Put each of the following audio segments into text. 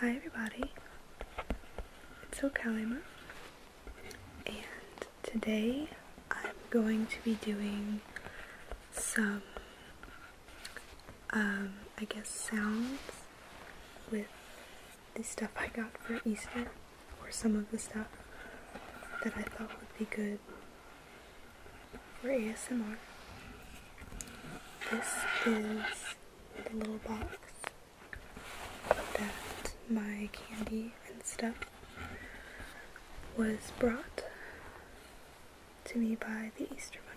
Hi everybody, it's Okalima, and today I'm going to be doing some, um, I guess sounds with the stuff I got for Easter, or some of the stuff that I thought would be good for ASMR. This is the little box that my candy and stuff was brought to me by the Easter Bunny.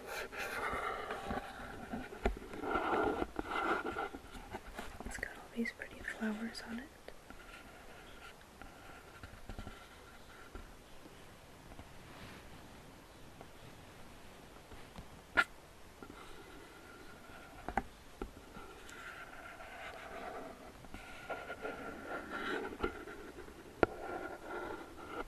It's got all these pretty flowers on it.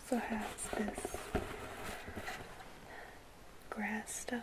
Also has this grass stuff.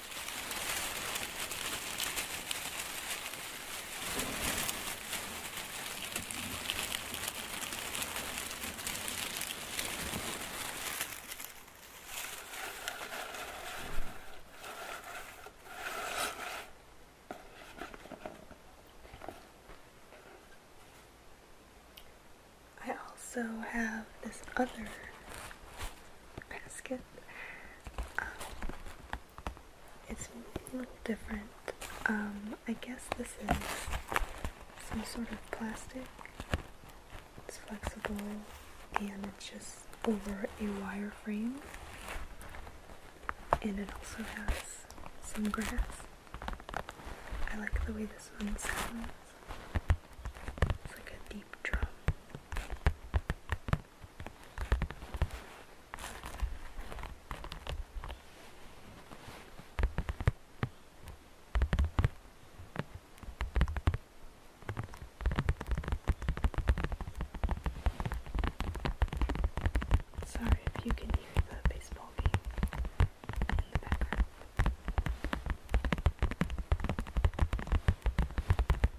I also have this other basket. Um, it's a little different. Um, I guess this is some sort of plastic. It's flexible and it's just over a wire frame. And it also has some grass. I like the way this one sounds. It's like a deep drum. Sorry if you can hear the baseball game in the background.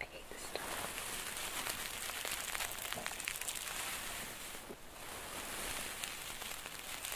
I hate this stuff.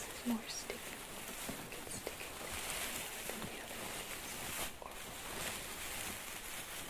This is more sticky. It's sticking than the other ones. Or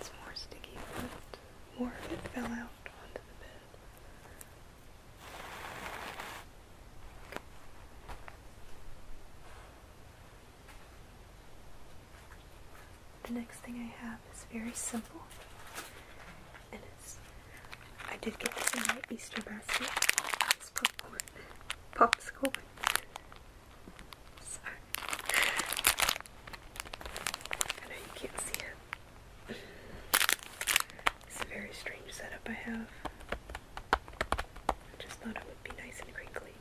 It's more sticky, but more of it fell out onto the bed. Okay. The next thing I have is very simple. And it's, I did get this in my Easter basket. It's popcorn. Popsicle. Sorry. I know you can't see it. It's a very strange setup I have. just thought it would be nice and crinkly.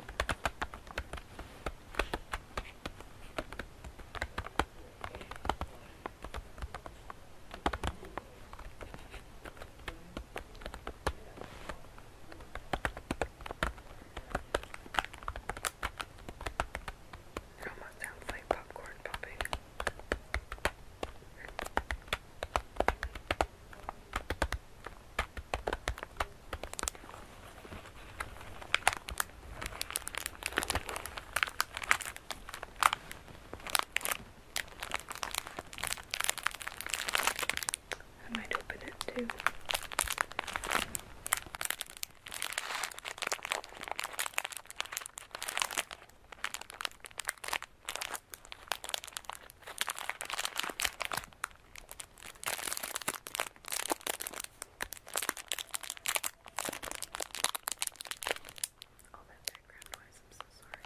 like popcorn popping. I might open it too. All that background noise, I'm so sorry.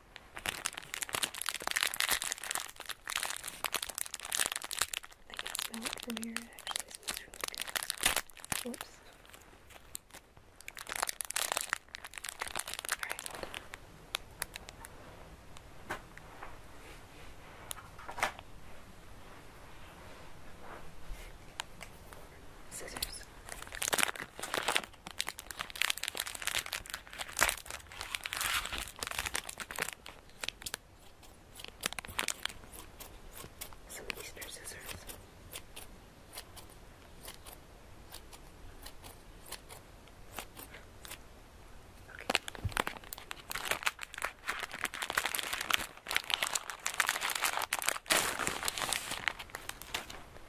I can smell it from here. It actually smells really good. Whoops. Alright, hold on. Scissors. Some of these are scissors. Okay.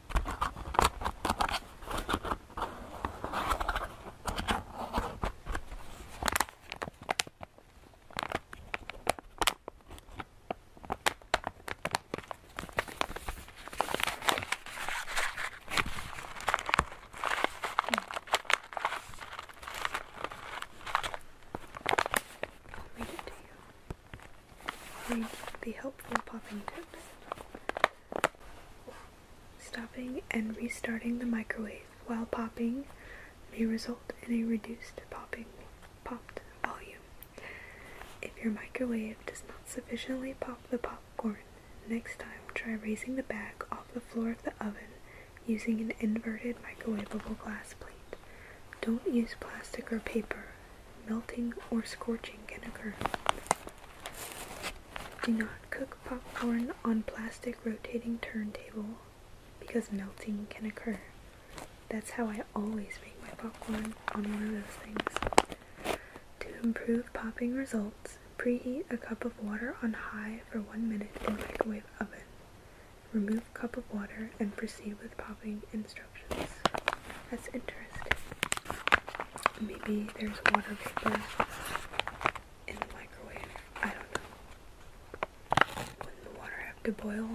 I'll read it to you read the helpful popping tips. Stopping and restarting the microwave while popping may result in a reduced popping popped volume. If your microwave does not sufficiently pop the popcorn, next time try raising the bag off the floor of the oven using an inverted microwavable glass plate. Don't use plastic or paper melting or scorching can occur. Do not cook popcorn on plastic rotating turntable because melting can occur. That's how I always make my popcorn on one of those things. To improve popping results, preheat a cup of water on high for one minute in microwave oven. Remove cup of water and proceed with popping instructions. That's interesting. Maybe there's water vapor in the microwave. I don't know. would the water have to boil?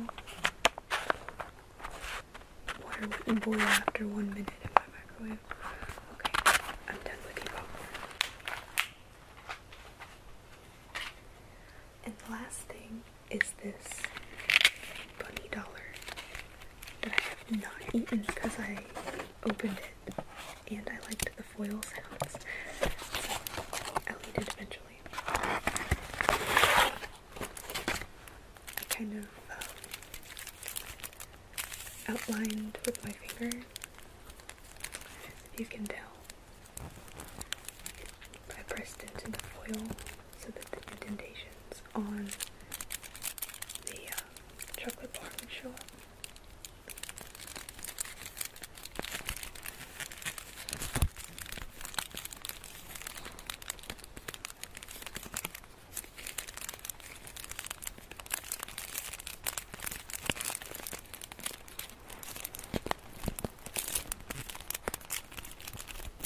Water wouldn't boil after one minute in my microwave. Okay, I'm done with you popcorn. And the last thing is this bunny dollar that I have not eaten because I opened it and I liked the foil sounds. So I'll it eventually. I kind of um, outlined with my finger, if you can tell. I pressed into the foil so that the indentations on the uh, chocolate bar would show up.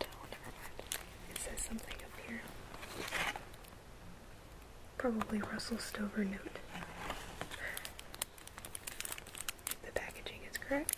It says something up here. Probably Russell Stover note. The packaging is correct.